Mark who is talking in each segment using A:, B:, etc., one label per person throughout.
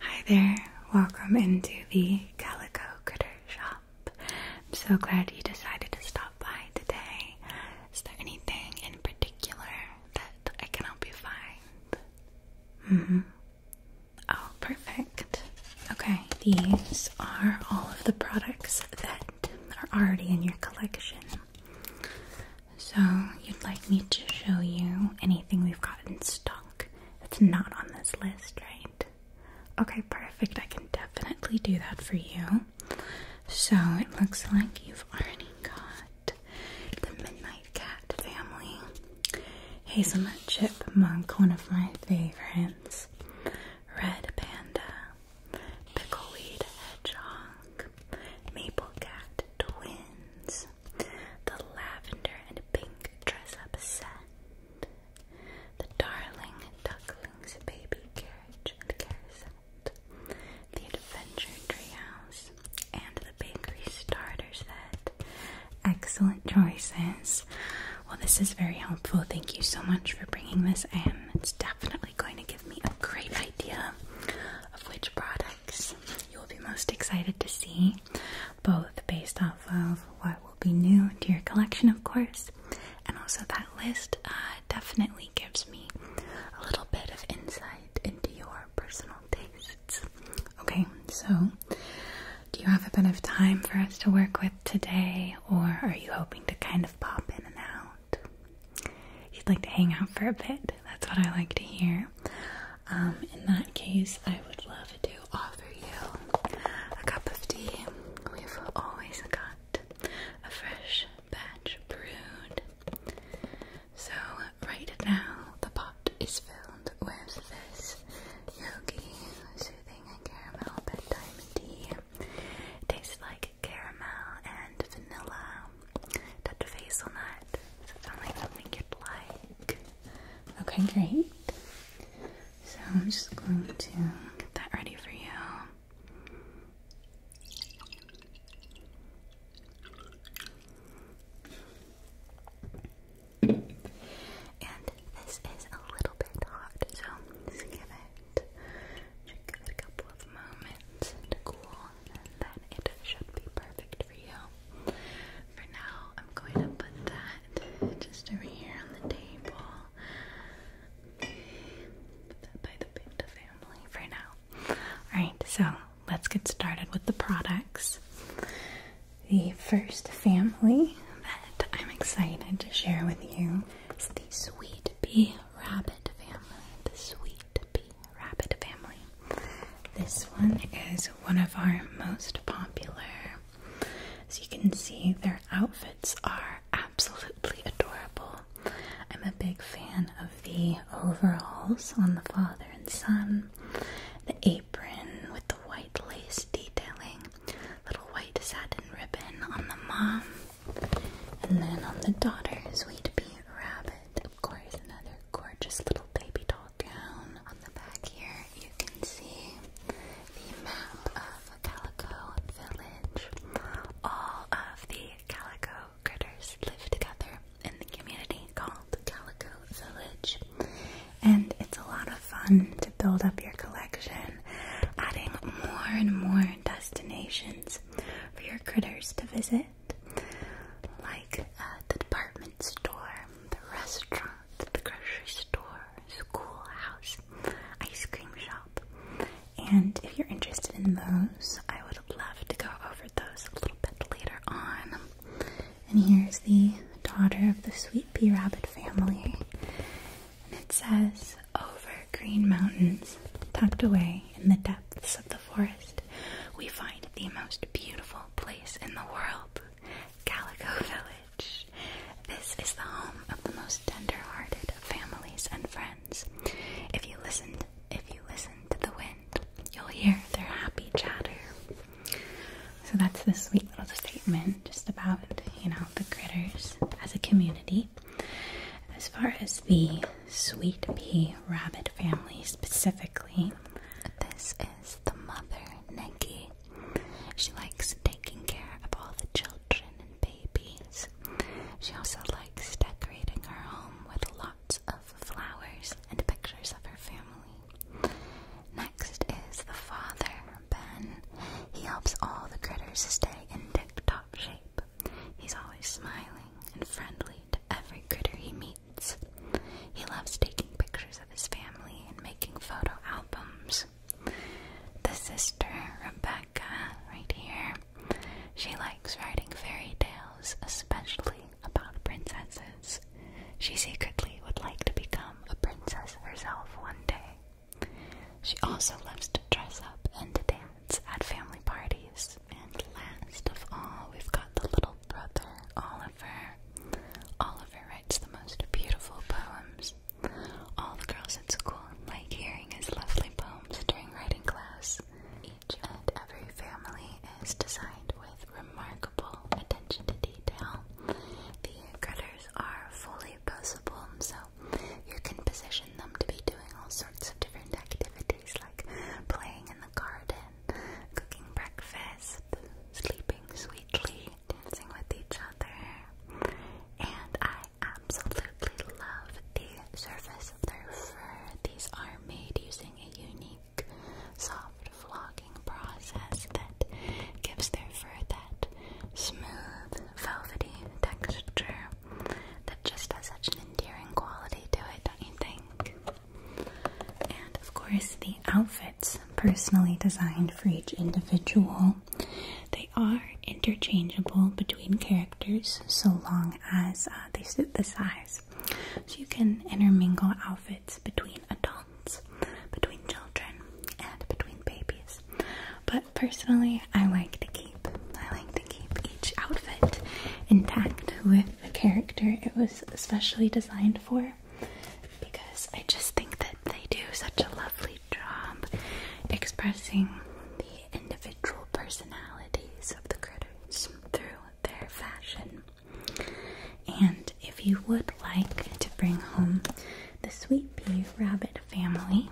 A: Hi there, welcome into the Calico Critter Shop. I'm so glad you decided to stop by today. Is there anything in particular that I can help you find? Mm hmm. Oh, perfect. Okay, these are all of the products that are already in your collection. So, you'd like me to show you anything we've got in stock it's not on this list, right? Okay, perfect. I can definitely do that for you. So it looks like you've already got the Midnight Cat family, Hazelnut Chipmunk, one of my favorites, Red Panda, Pickleweed Hedgehog, Maple Cat Twins, the lavender and pink dress up set, the darling ducklings baby carriage and carousel, the adventure treehouse, and the bakery starter set. Excellent choices. Well, this is very helpful. Thank you so much for bringing this And It's definitely going to give me a great idea of which products you will be most excited to see both based off of what will be new to your collection, of course, and also that list uh, definitely gives me a little bit of insight into your personal tastes. Okay, so do you have a bit of time for us to work with today, or are you hoping to kind of pop in and out? You'd like to hang out for a bit, that's what I like to hear. Um, in that case, I would love to offer you a cup of tea. We've always got a fresh batch brewed. So, right now, the pot is filled with this yogi soothing and caramel bedtime tea. tastes like caramel and vanilla, touch hazelnut. sound like something you'd like? Okay, great. So I'm just going to get that ready for you. And this is a little bit hot, so give it a couple of moments to cool, and then it should be perfect for you. For now, I'm going to put that just over here on the table. by the panda family for now. Alright, so let's get started with the products. The first family that I'm excited to share with you is the Sweet Bee Rabbit family. The Sweet Bee Rabbit family. This one is one of our most popular as you can see, their outfits are absolutely adorable. I'm a big fan of the overalls on the father and son, the apron with the white lace detailing, little white satin ribbon on the mom, and then on the daughters, we'd be Rabbit. Of course, another gorgeous little baby doll down on the back here, you can see the map of Calico Village. All of the Calico critters live together in the community called Calico Village. And it's a lot of fun to build up your collection, adding more and more destinations for your critters to visit, like uh, the department store, the restaurant, the grocery store, Schoolhouse Ice Cream Shop. And if you're interested in those, I would love to go over those a little bit later on. And here's the daughter of the Sweet Pea Rabbit family. And it says, Over green mountains, tucked away in the depths of the forest, we find the most beautiful place in the world. Calico Village. This is the home of the most tender-hearted families and friends. If you listen, if you listen to the wind, you'll hear their happy chatter. So that's the sweet little statement just about you know the critters as a community. As far as the sweet pea rabbit family specifically, this is the mother Negi she likes taking care of all the children and babies. She also likes decorating her home with lots of flowers and pictures of her family. Next is the father, Ben. He helps all the critters stay in tip top shape. He's always smiling and friendly to every critter he meets. He loves taking pictures of his family and making photo albums. The sister, Rebecca, right here, she likes writing fairy tales, especially about princesses. She secretly would like to become a princess herself one day. She also loves to dress up and dance at family parties. And last of all, we've got the little brother, Oliver. Oliver writes the most beautiful poems. All the girls at school like hearing his lovely poems during writing class. Each and every family is designed with remarkable attention to detail. The critters are fully possible, so you can position them to be doing all sorts of different activities like playing in the garden, cooking breakfast, sleeping sweetly, dancing with each other. And I absolutely love the surface of their fur. These are made using a unique soft vlogging process that gives their fur that smooth, velvety texture that just has such an endearing quality to it, don't you think? And of course, the outfits personally designed for each individual they are interchangeable between characters so long as uh, they suit the size. So you can intermingle outfits between adults, between children, and between babies. But personally, I like to keep I like to keep each outfit intact with the character it was especially designed for because I just think that they do such a lovely job expressing the individual personalities of the critters through their fashion. And if you would like to bring home the Sweet Pea Rabbit family,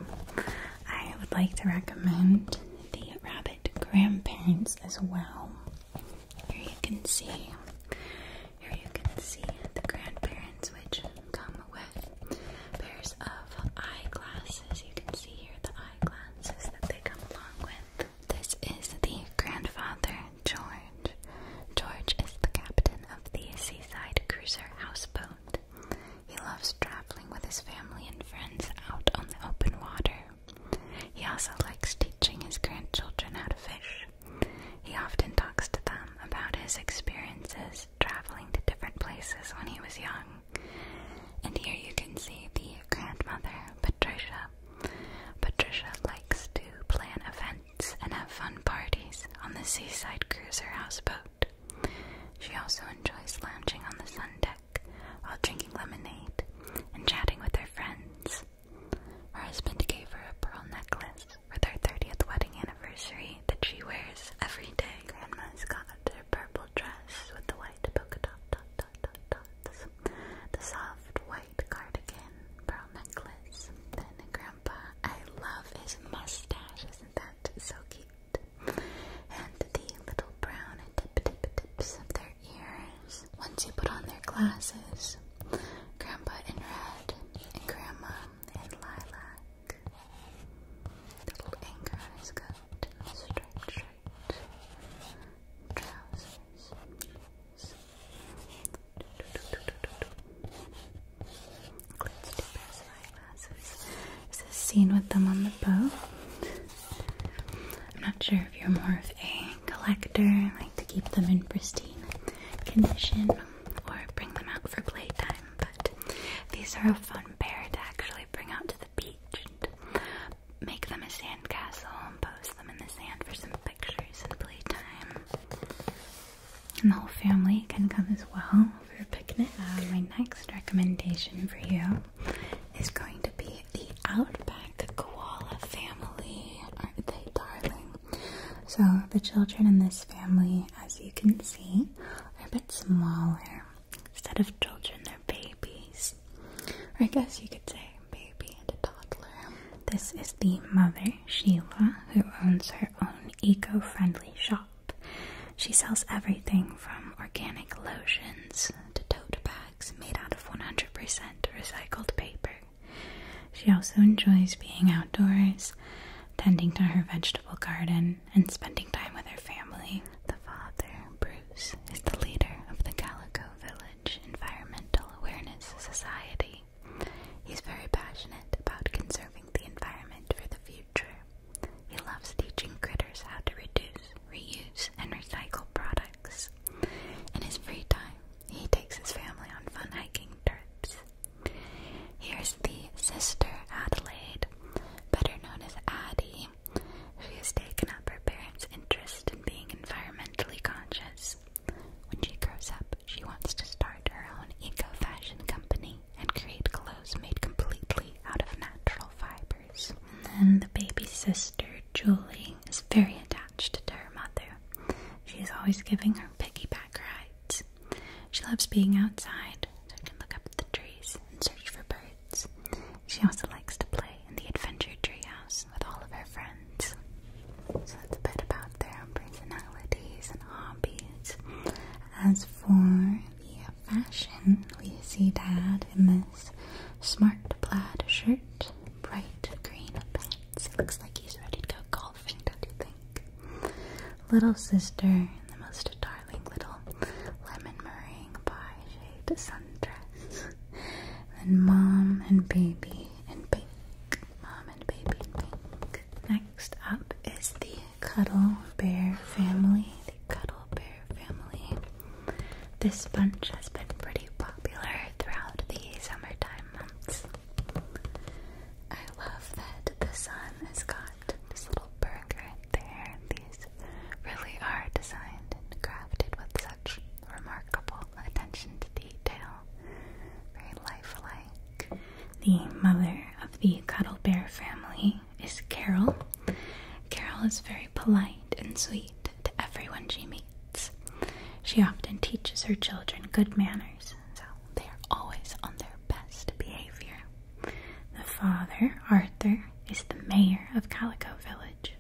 A: I would like to recommend the Rabbit grandparents as well. Here you can see here you can see the grandparents, which come with pairs of eyeglasses. You can see here the eyeglasses that they come along with. This is the grandfather, George. George is the captain of the seaside cruiser houseboat. He loves traveling with his family and friends out on the open water. He also likes teaching his grandchildren how to fish. He often talks to them about his experiences traveling to different places when he was young. And here you can see the grandmother, Patricia. Patricia likes to plan events and have fun parties on the seaside cruiser houseboat. She also enjoys lounging on the sun deck while drinking lemonade and chatting with her friends. Her husband gave her a pearl necklace for their 30th wedding anniversary that she wears every day, Grandma's got her purple dress with the white polka dot dot dot dots, the soft white cardigan, pearl necklace. Then Grandpa, I love his mustache, isn't that so cute? And the little brown tip tip tips of their ears. Once you put on their glasses, Grandpa in red and Grandma in lilac. Little anchor is good. Striped shirt. Trousers. Includes two eyeglasses. this scene with them on the boat? I'm not sure if you're more of a collector, like to keep them in pristine condition, or bring them out for playtime, these are a fun pair to actually bring out to the beach and make them a sandcastle and pose them in the sand for some pictures and playtime. And the whole family can come as well for a picnic. Uh, my next recommendation for you is going to be the Outback Koala Family. Aren't they darling? So, the children in this family, as you can see, are a bit smaller. Instead of children, they're babies. Or I guess you could say baby and a toddler. This is the mother, Sheila, who owns her own eco friendly shop. She sells everything from organic lotions to tote bags made out of 100% recycled paper. She also enjoys being outdoors tending to her vegetable garden and spending time with her family. The father, Bruce, is the leader of the Calico Village Environmental Awareness Society. He's very passionate about conserving the environment for the future. He loves teaching critters how to reduce, reuse, and recycle products. In his free time, he takes his family on fun hiking trips Here's the sister Adelaide, better known as Addie, She has taken up her parents' interest in being environmentally conscious. When she grows up, she wants to start her own eco fashion company and create clothes made completely out of natural fibers. And then the baby sister, Julie, is very attached to her mother. She is always giving her piggyback rides. She loves being outside so she can look up at the trees and search for birds. She also likes to play in the Adventure Treehouse with all of her friends. So that's a bit about their own personalities and hobbies. As for the fashion, we see Dad in this smart plaid shirt, bright green pants. looks like he's ready to go do you think? Little sister, the most darling little lemon meringue pie shade sundress. Then mom and baby and pink. Mom and baby pink. Next up is the Cuddle Bear family. The Cuddle Bear family. This bunch has been pretty popular throughout the summertime months. I love that the sun has got this little berg right there. These really are designed and crafted with such remarkable attention to detail. Very lifelike. The mother of the cuddle bear family is Carol. Carol is very polite and sweet to everyone she meets. She often teaches her children good manners, so they are always on their best behavior. The father, Arthur, is the mayor of Calico Village.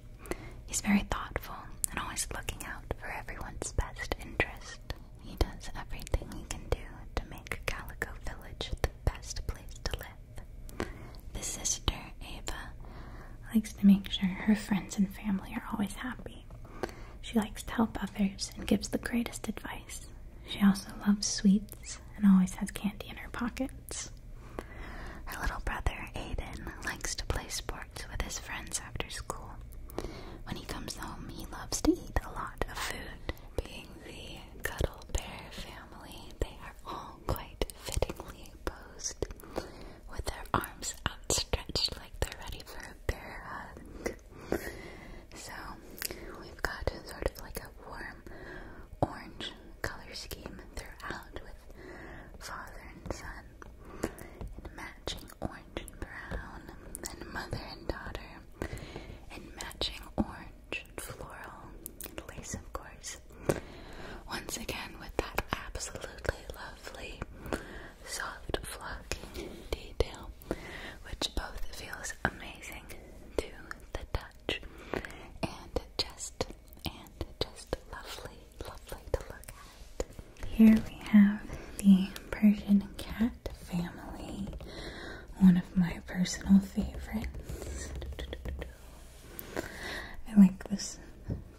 A: He's very thoughtful and always looking out for everyone's best interest. He does everything he can do to make Calico Village the best place to live. The sister, Ava, likes to make sure her friends and family are always happy. She likes to help others and gives the greatest advice she also loves sweets and always has candy in her pockets. Her little brother, Aiden, likes to play sports with his friends after school. When he comes home, he loves to eat a lot of food. Being the Cuddle Bear family, they are all quite fittingly posed, with their arms outstretched like they're ready for a bear hug. So we've got sort of like a warm orange color scheme throughout with father and son, and matching orange and brown, and mother and daughter, and matching orange and floral and lace, of course. Once again, with that absolutely lovely soft flocking detail which both feels amazing to the touch and just and just lovely, lovely to look at. Here we have the Persian cat family, one of my personal favorites. I like this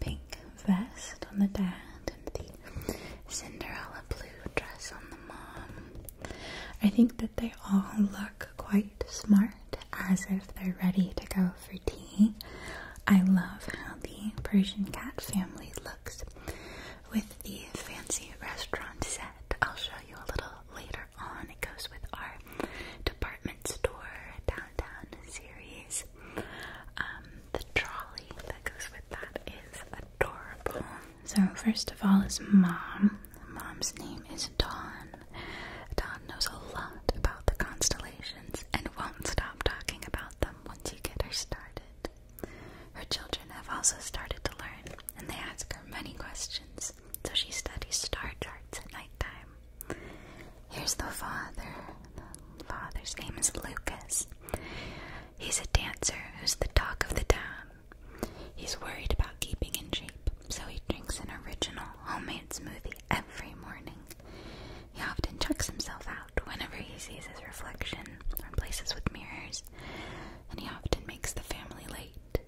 A: pink vest on the dad and the Cinderella blue dress on the mom. I think that they all look quite smart as if they're ready to go for tea. I love how the Persian cat family looks with the fancy restaurant set. I'll show you a little later on. It goes with our department store downtown series. Um, the trolley that goes with that is adorable. So first of all is mom. Mom's name is Dawn. Dawn knows a lot about the constellations and won't stop talking about them once you get her started. Her children have also started to learn and they ask her many questions, so she studies star charts at nighttime. Here's the father. The father's name is Lucas. He's a dancer who's the talk of the town. He's worried about keeping in shape, so he drinks an original homemade smoothie every morning. He often checks himself out whenever he sees his reflection or places with mirrors, and he often makes the family late.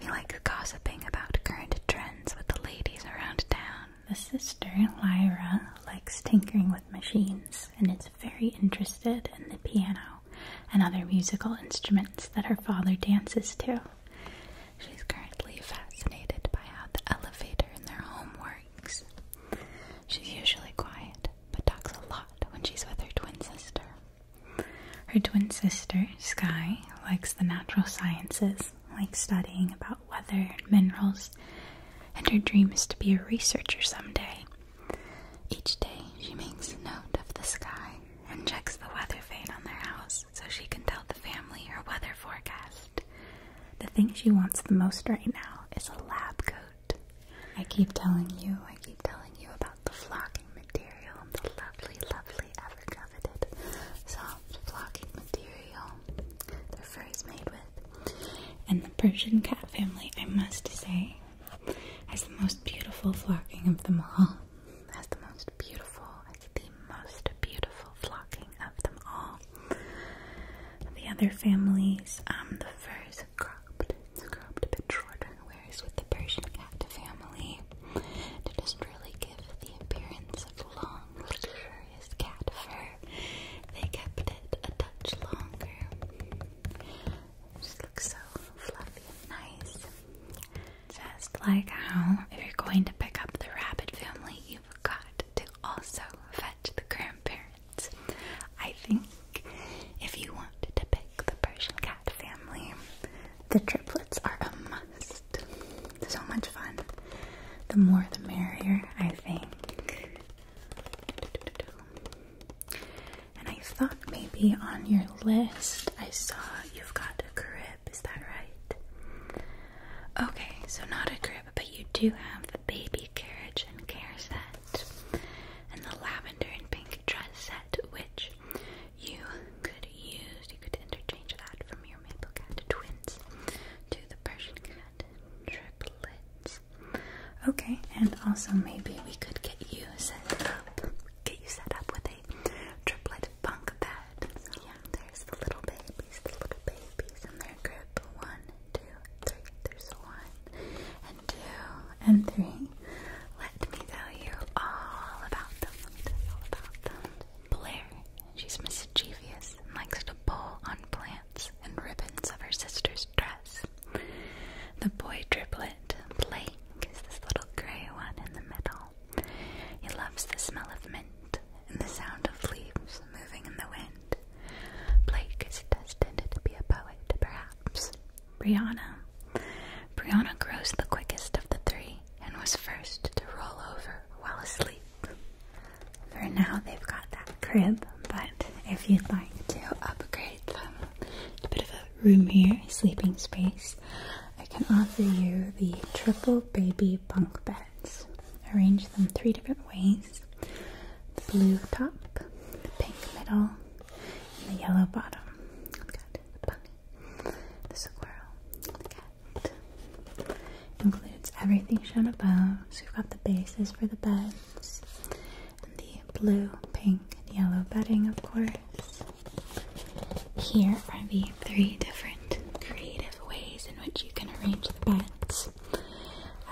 A: He likes gossiping about current trends with the ladies around town. The sister, Lyra, likes tinkering with machines and is very interested in the piano and other musical instruments that her father dances to. She's currently fascinated by how the elevator in their home works. She's usually quiet, but talks a lot when she's with her twin sister. Her twin sister, Sky, likes the natural sciences, like studying about weather and minerals, and her dream is to be a researcher someday. Each day she makes a note of the sky and checks the weather vane on their house so she can tell the family her weather forecast. The thing she wants the most right now is a lab coat. I keep telling you, I keep telling you about the flocking material and the lovely, lovely, ever coveted soft flocking material their fur is made with. And the Persian cat family, I must say, has the most beautiful flocking of them all has the most beautiful, it's the most beautiful flocking of them all. The other families, um, the fur is cropped, it's cropped a bit shorter, whereas with the Persian cat family, to just really give the appearance of long, luxurious cat fur, they kept it a touch longer. just looks so fluffy and nice. Just like how, if you're going to pick up the rabbit family, you've got to also fetch the grandparents. I think if you wanted to pick the Persian cat family, the triplets are a must. So much fun. The more the merrier, I think. And I thought maybe on your list I saw you've got a crib, is that right? Okay, so not a crib, but you do have the baby carriage and care set, and the lavender and pink dress set, which you could use. You could interchange that from your maple cat twins to the Persian cat triplets. Okay, and also maybe we could get you set up, get you set up with a triplet bunk bed. So yeah, there's the little babies, the little babies in their group. One, two, three. There's one and two and three. Let me tell you all about them. Let me tell you all about them. Blair, she's mischievous and likes to pull on plants and ribbons of her sister's dress. The boy triplet Blake is this little grey one in the middle. He loves the smell of mint and the sound of leaves moving in the wind. Blake is destined to be a poet, perhaps. Brianna. Brianna grows the quickest of the three and was first to roll over while asleep. For now, they've got that crib, but if you'd like to upgrade them, a bit of a room here, sleeping space, I can offer you the triple baby bunk beds. Arrange them three different ways the blue top, the pink middle, and the yellow bottom. i the bunny, the squirrel, Includes everything shown above. So we've got the bases for the beds, and the blue, pink, and yellow bedding, of course. Here are the three different creative ways in which you can arrange the beds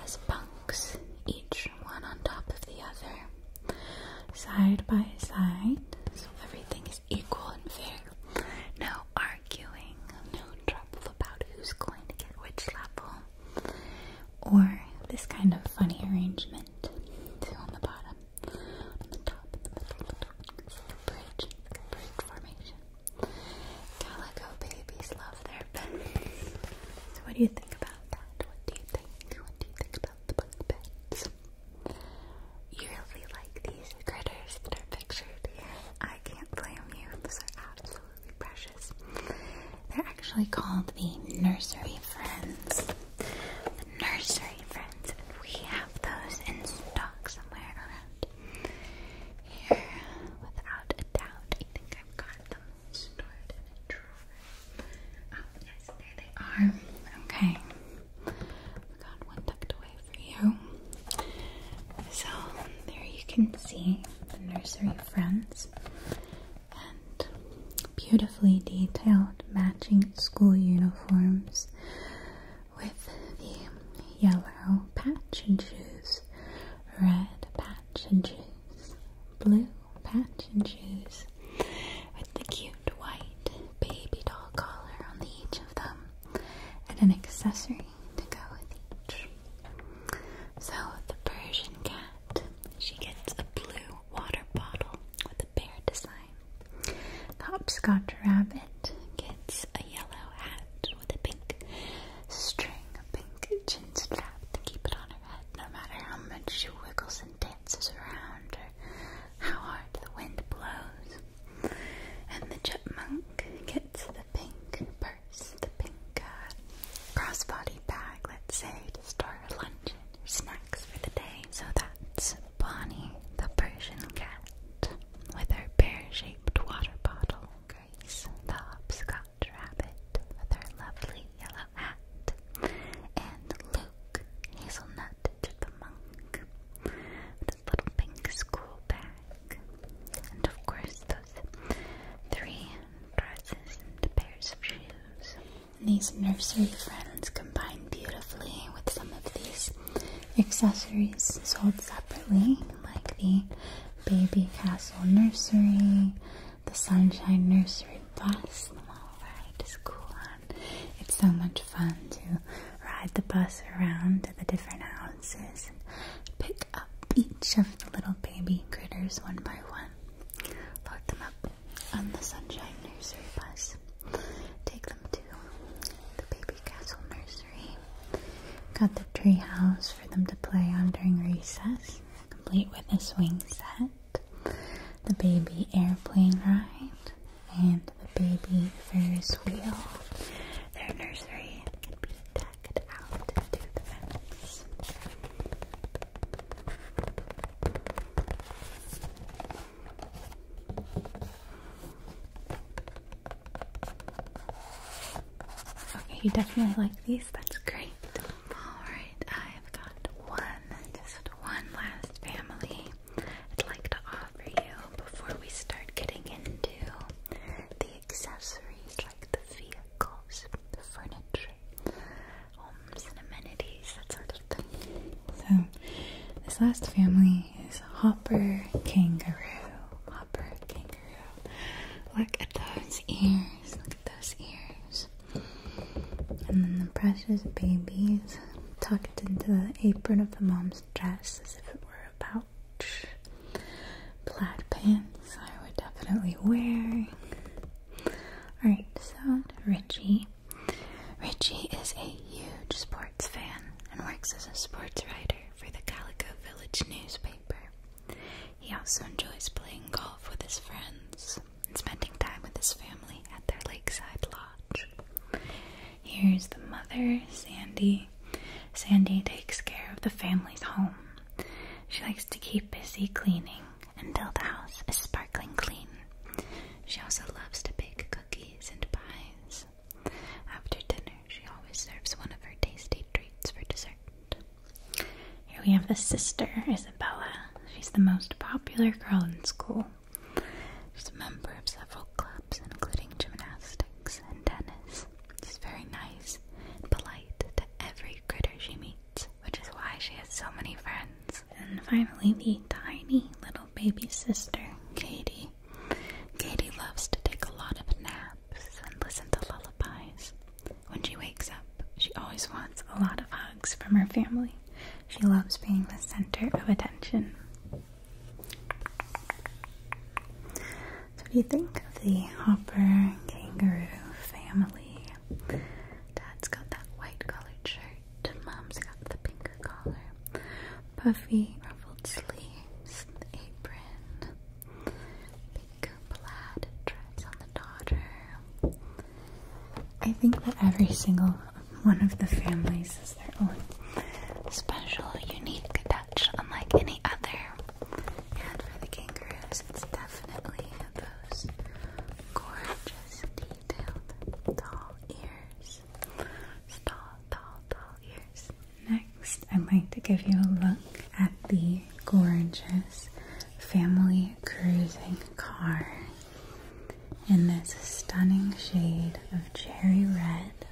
A: as bunks, each one on top of the other, side by side, so everything is equal and fair. No arguing, no trouble about who's going to get which level, or this kind of funny arrangement. Two on the bottom, Calico babies love their pets. So what do you think about that? What do you think? What do you think about the bunk beds? You really like these critters that are pictured here. I can't blame you. Those are absolutely precious. They're actually called the nursery friends. The nursery friends. We have those in stock somewhere around here, without a doubt. I think I've got them stored in a drawer. Oh, yes, there they are. Okay. we have got one tucked away for you. So, there you can see the nursery friends and beautifully detailed matching school uniforms with the yellow patch and shoes, red patch and shoes, blue patch and shoes, with the cute white baby doll collar on each of them, and an accessory to go with each. So the Persian cat, she gets a blue water bottle with a bear design. Hopscotch Rabbit gets a yellow hat with a pink string, a pink chin strap to keep it on her head no matter how much she wiggles and dances around or how hard the wind blows. And the chipmunk gets the pink purse, the pink uh, crossbody bag, let's say, to store her lunch and her snacks for the day. So that's Bonnie, the Persian cat, with her pear-shaped water bottle. Grace, the hopscotch rabbit, with her lovely yellow hat. And Luke, Hazelnut the monk, with his little pink school bag. And of course, those three dresses and pairs of shoes. These nursery friends come combine beautifully with some of these accessories sold separately, like the Baby Castle Nursery, the Sunshine Nursery bus. All right, it's cool. It's so much fun to ride the bus around the different houses and pick up each of the little baby critters one by one. Load them up on the Sunshine Nursery bus. Take to the Baby Castle Nursery. Got the treehouse for them to play on during recess, complete with a swing set, the baby airplane ride, and the baby Ferris wheel. Their nursery can be decked out to the fence. Okay, you definitely like these. That's great. Alright, I've got one, just one last family I'd like to offer you before we start getting into the accessories like the vehicles, the furniture, homes and amenities, that sort so, this last family is Hopper Kangaroo. Hopper Kangaroo. Look at those ears. Look at those ears. And then the precious babies tucked into the apron of the mom's dress as if it were a pouch. Plaid pants I would definitely wear. Alright, so Richie Richie is a huge sports fan and works as a sports writer for the Calico Village newspaper. He also enjoys playing golf with his friends and spending time with his family at their lakeside lodge. Here's the mother, Sandy. Sandy takes care of the family's home. She likes to keep busy cleaning until the house is sparkling clean. She also loves to bake cookies and pies. After dinner, she always serves one of her tasty treats for dessert. Here we have the sister, Isabella. She's the most popular girl in school. She's a member of several clubs, including gymnastics and tennis. She's very nice and polite to every critter she meets, which is why she has so many friends. And finally, the tiny little baby sister, Katie. Katie loves to take a lot of naps and listen to lullabies. When she wakes up, she always wants a lot of hugs from her family. She loves being the center of attention. So, do you think of the hopper kangaroo family? Dad's got that white collared shirt. Mom's got the pinker collar. Puffy ruffled sleeves. Apron. Pink plaid dress on the daughter. I think that every single one of the families is their own special, unique touch, unlike any other. And for the kangaroos, it's definitely those gorgeous, detailed, tall ears. Next, I'd like to give you a look at the gorgeous family cruising car in this stunning shade of cherry red.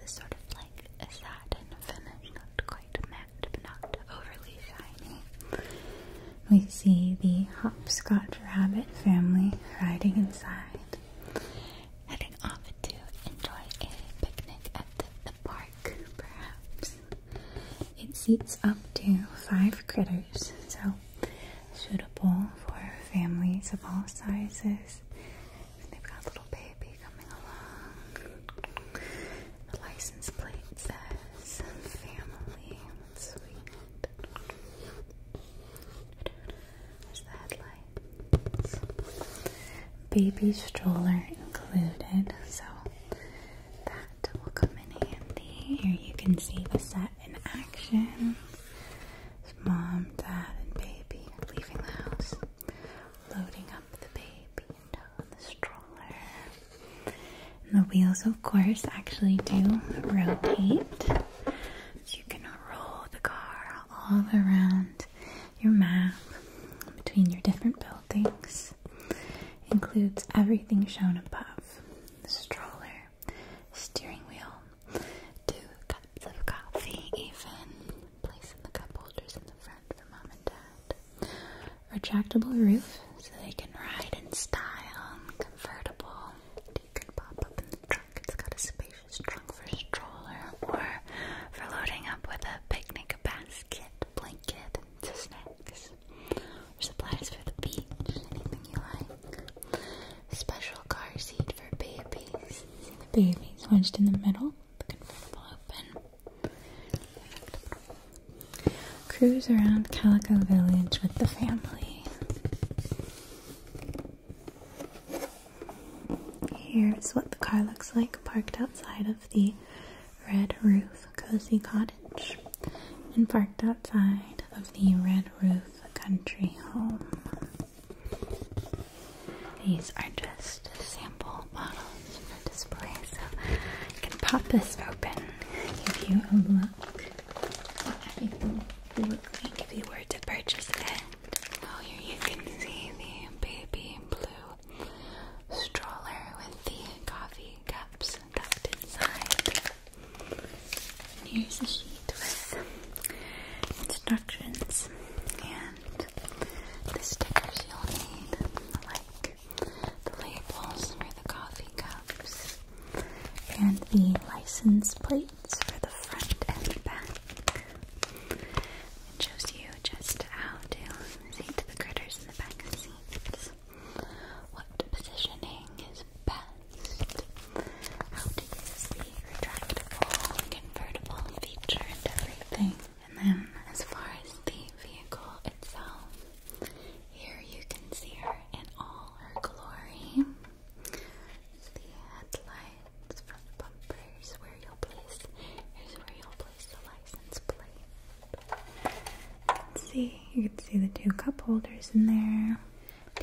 A: This sort of like a satin finish, not quite matte, but not overly shiny. We see the hopscotch rabbit family riding inside. Heading off to enjoy a picnic at the, park, perhaps. It seats up to five critters, so suitable for families of all sizes. they've got little baby coming along. The license plate says family. sweet. Baby stroller included, so that will come in handy. Here you can see the set in action. mom, dad, and baby leaving the house, loading up the baby into the stroller. And the wheels, of course, actually do rotate. You can roll the car all around your map between your different buildings. Includes everything shown above the stroller, steering wheel, two cups of coffee, even placing the cup holders in the front for mom and dad, retractable roof so they can ride in style, convertible. You can pop up in the trunk, it's got a space decorations trunk for stroller or for loading up with a picnic basket, blanket, and snacks, or supplies for the beach, anything you like. Special car seat for babies. See the babies wedged in the middle, the convertible open. Cruise around Calico Village with the family. Here is what the car looks like parked outside of the Red Roof Cozy Cottage and parked outside of the Red Roof Country Home. These are just sample bottles for display, so I can pop this open, give you a look. What everything would like if you were to purchase it. Oh, here you can see the baby blue stroller with the coffee cups tucked inside. And here's a sheet with instructions and the stickers you'll need, like the labels for the coffee cups and the license plate for the front and the back. It shows you just how to seat the critters in the back seats. What positioning is best? How to use the retractable, convertible feature and everything. And then, as far as the vehicle itself, here you can see her in all her glory. The headlights front bumper. Here's where you'll place. Here's where you'll place the license plate. see, you can see the two cup holders in there.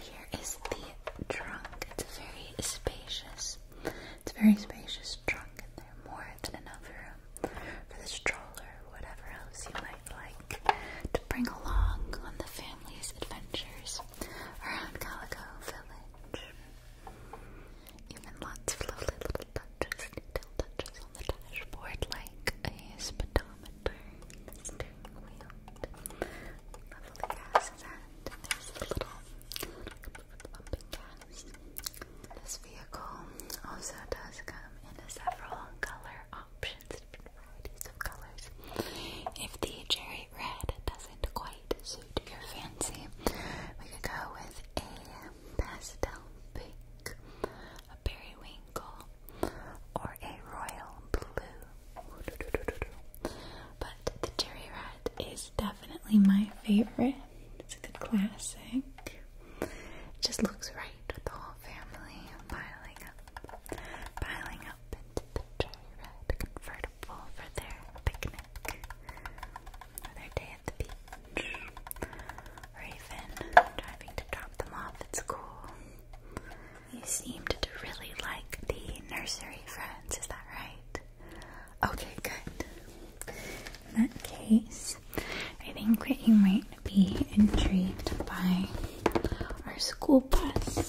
A: Here is the trunk. It's a very spacious. It's a very spacious trunk in there. More than enough room for the stroller, whatever else you might like to bring along on the family's adventures around Calico. Even lots of lovely little touches, detailed touches on the dashboard, like a speedometer, steering wheel, lovely gas There's little, little bumping This vehicle also does come in several color options, varieties of colors. If the cherry red does not does quite suit your fancy, we could go with a pastel pink, a periwinkle, or a royal blue. But the cherry red is definitely my favorite. It's a good classic. It just looks right with the whole family piling up, piling up into the cherry-red convertible for their picnic, for their day at the beach, or driving to drop them off at school. You seemed to really like the nursery friends, is that right? Okay, good. In that case, I think that you might be intrigued by our school bus.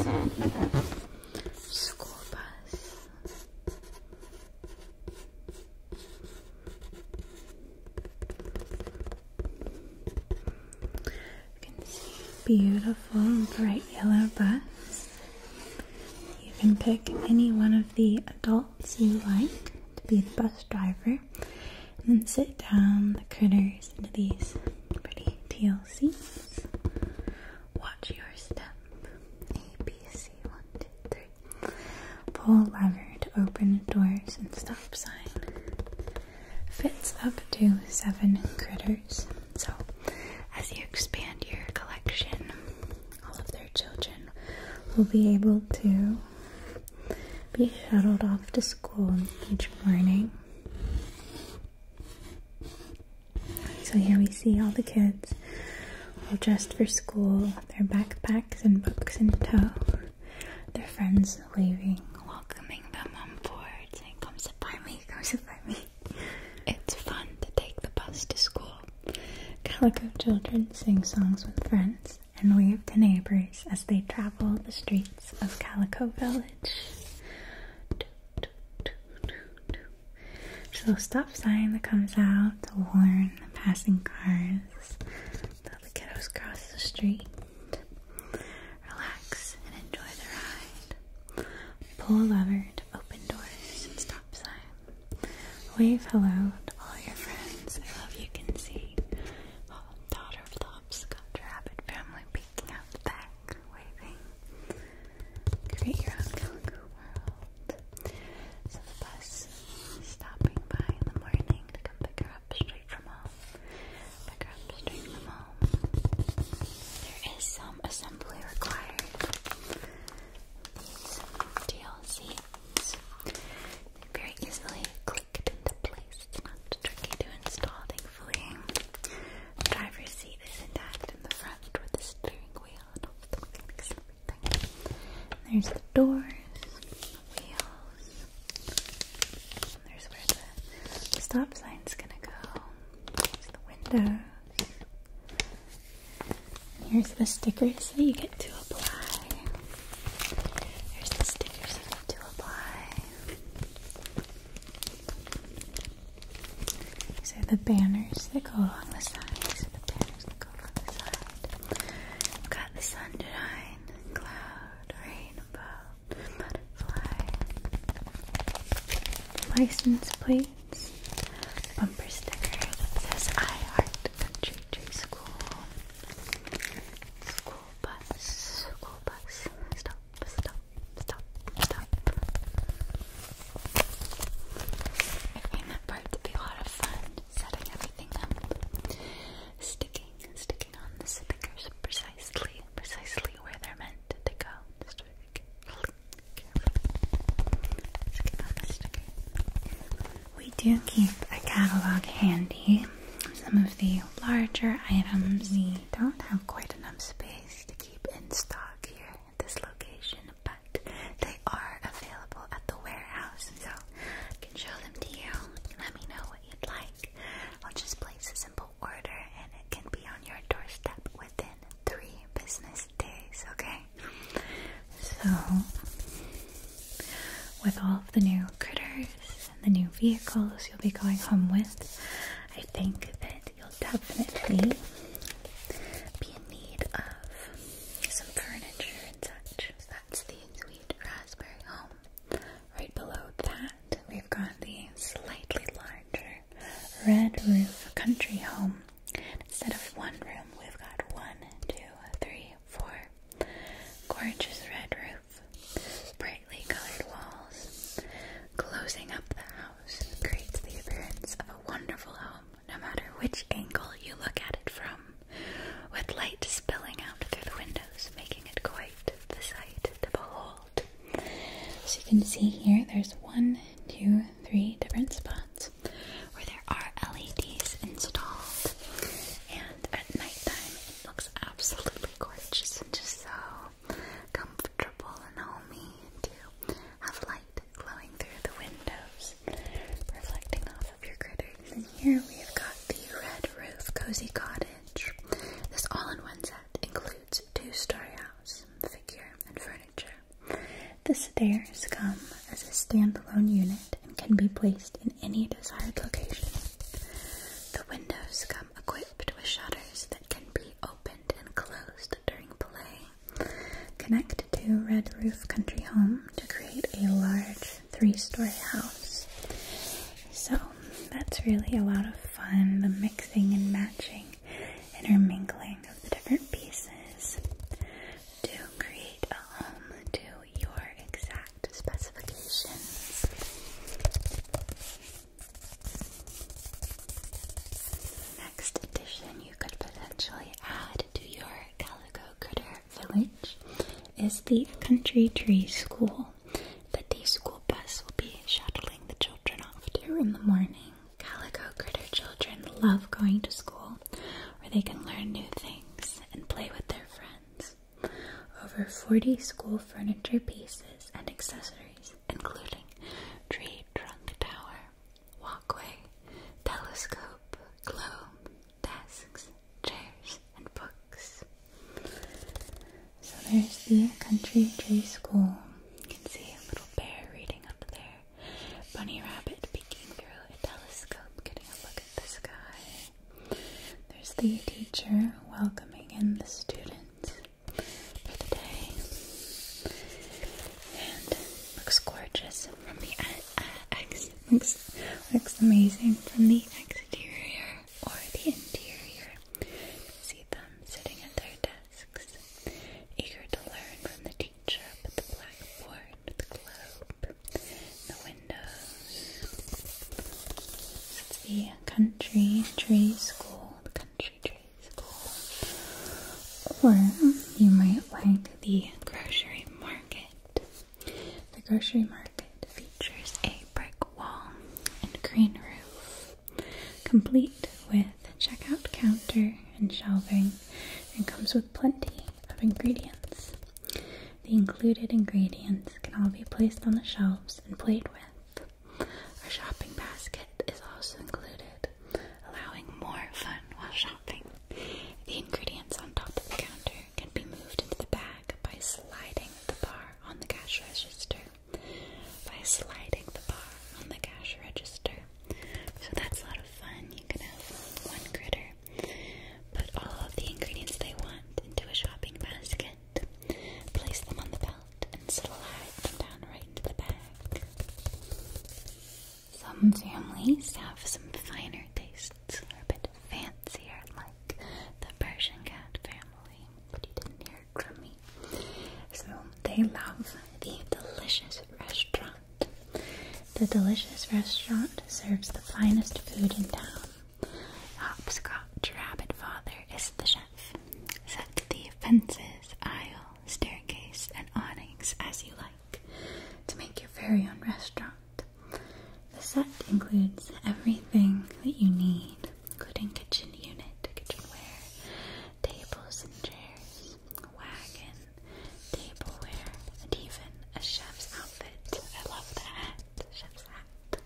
A: School bus. You can see beautiful bright yellow bus. You can pick any one of the adults you like to be the bus driver and then sit down the critters into these pretty teal seats Watch your step. A, B, C, one, two, three. Pull lever to open doors and stop sign. Fits up to seven critters. So, as you expand your collection, all of their children will be able to be shuttled off to school each morning. So here we see all the kids all dressed for school, their backpacks and books in tow, their friends waving, welcoming them on board, saying, Come sit by me, come sit by me. It's fun to take the bus to school. Calico children sing songs with friends and wave to neighbors as they travel the streets of Calico Village. There's a little stop sign that comes out to warn the passing cars that the kiddos cross the street. Relax and enjoy the ride. Pull a lever to open doors and stop sign. Wave hello to all your friends I love you can see. Oh, daughter of the hopscotch rabbit family peeking out the back, waving. Create your own Kangaroo world. the bus stopping by in the morning to come pick her up straight from home. Pick her up straight from home. There is some assembly required. These DLCs. Very easily clicked into place. not tricky to install, thankfully driver's seat is intact in the front with the steering wheel there's the doors, wheels. there's where the stop sign's gonna go. There's the windows. here's the stickers that you get to apply. Here's the stickers you get to apply. These are the banners that go along the side. These the banners that go along the side. we got the sunshine, cloud, rainbow, butterfly, license plates, bumper stickers that says I Heart Country Tree School, school bus, school bus, stop, stop, stop, stop. I find that part to be a lot of fun, setting everything up, sticking, sticking on the stickers precisely, precisely where they're meant to go. Just we do keep a catalog handy. Some of the larger items we don't have quite enough space to keep in stock here at this location, but they are available at the warehouse, so I can show them to you. Let me know what you'd like. I'll just place a simple order and it can be on your doorstep within three business days, okay? So, with all of the new critters and the new vehicles you'll be going home with, I think that you'll definitely be in need of some furniture and such. So that's the sweet raspberry home. Right below that, we've got the slightly larger red roof country home. Instead of one room, we've got one, two, three, four. Gorgeous red roof, brightly colored walls. Closing up the house creates the appearance of a wonderful home no matter which angle you look at it from, with light spilling out through the windows, making it quite the sight to behold. So you can see here, there's one, two, three different spots where there are LEDs installed, and at night time, it looks absolutely gorgeous and just so comfortable and homey to have light glowing through the windows, reflecting off of your critters. here we have got the Red Roof Cozy Cottage. This all-in-one set includes two-story house, figure, and furniture. The stairs come as a standalone unit and can be placed in any desired location. The windows come equipped with shutters that can be opened and closed during play Connect to Red Roof Country Home to create a large three-story house. So that's really a lot of fun, the mixing and matching, intermingling of the different pieces to create a home to your exact specifications. Next edition, could potentially add to your Calico Critter Village is the Country Tree School. The day school bus will be shuttling the children off to in the morning. Calico Critter children love going to school where they can learn new things and play with their friends. Over 40 school furniture pieces and accessories, including tree trunk tower, walkway, telescope, globe, desks, chairs, and books. So there's the Country Tree School. You can see a little bear reading up there, bunny rabbit peeking through a telescope, getting a look at the sky. There's the teacher welcoming in the students for the day and looks gorgeous from the ex uh, uh, looks, looks amazing from the exterior or the interior. See them sitting at their desks, eager to learn from the teacher at the blackboard, the globe, the windows. It's the country tree school, the country tree or you might like the grocery market. The grocery market features a brick wall and green roof, complete with checkout counter and shelving, and comes with plenty of ingredients. The included ingredients can all be placed on the shelves and played with. A shopping basket is also included, allowing more fun while shopping. The ingredients on top of the counter can be moved into the bag by sliding the bar on the cash register. By sliding the bar on the cash register. So that's a lot of fun. You can have one critter put all of the ingredients they want into a shopping basket, place them on the belt, and slide them down right into the bag. Some families have some finer tastes, or a bit fancier, like the Persian cat family, but he didn't hear from me. So they love the delicious restaurant. The delicious restaurant serves the finest food in town. Hopscotch Rabbit Father is the chef. Set the fences, aisle, staircase, and awnings as you like to make your very own restaurant. The set includes everything that you need, including kitchen unit, kitchenware, tables and chairs, a wagon, tableware, and even a chef's outfit. I love the chef's hat.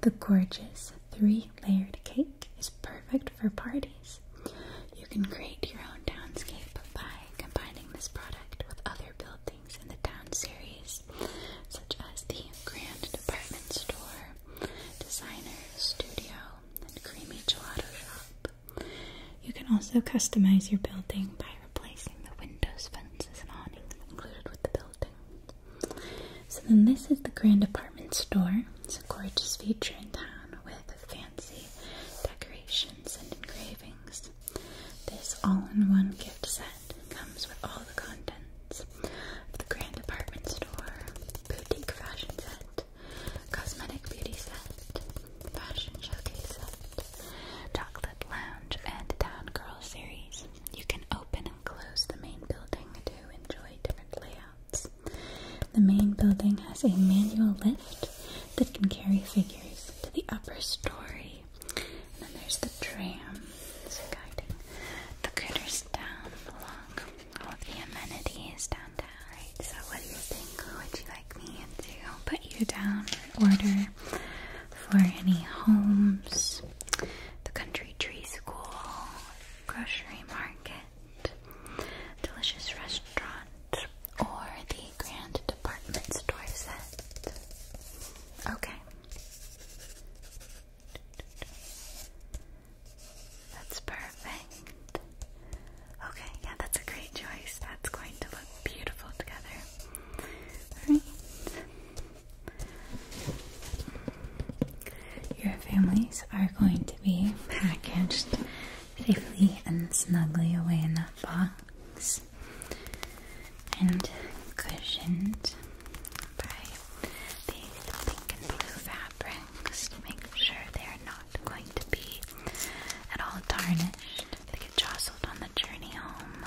A: The gorgeous three-layered cake is perfect for parties you can create your own townscape by combining this product with other buildings in the town series, such as the Grand Department Store, Designer Studio, and Creamy Gelato Shop. You can also customize your building by replacing the windows, fences, and awnings included with the building. So then this is the Grand Department Store. It's a gorgeous feature in town with fancy decoration and engravings. This all-in-one gift set comes with all the contents of the Grand Department Store, Boutique Fashion Set, Cosmetic Beauty Set, Fashion Showcase Set, Chocolate Lounge, and Town Girl Series. You can open and close the main building to enjoy different layouts. The main building has a manual lift that can carry figures to the upper story. And then there's the tram, the critters down along all the amenities downtown. Right, so what do you think? Would you like me to put you down or order for any homes, the country tree school, grocery market, delicious restaurant, or the grand department store set. Okay. That's perfect. Okay, yeah, that's a great choice. That's going to look beautiful together. Your families are going to be packaged safely and snugly away in that box and cushioned by these pink and blue fabrics to make sure they are not going to be at all tarnished if they get jostled on the journey home.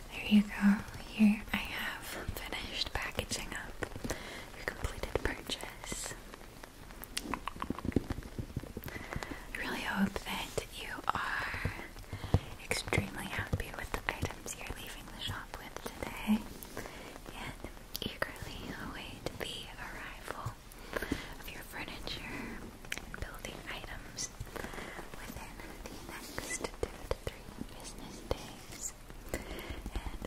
A: There you go. Here I have finished packaging up your completed purchase. I really hope that you are extremely happy with the items you're leaving the shop with today and eagerly await the arrival of your furniture and building items within the next two to three business days. And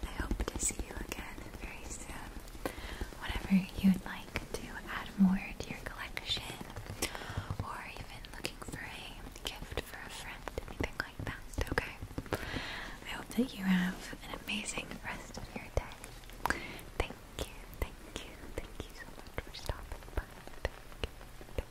A: I hope to see you again very soon. Whenever you'd like to add more to your collection, or even looking for a gift for a friend, anything like that, okay? I hope that you have an amazing rest of your day. Thank you, thank you, thank you so much for stopping by.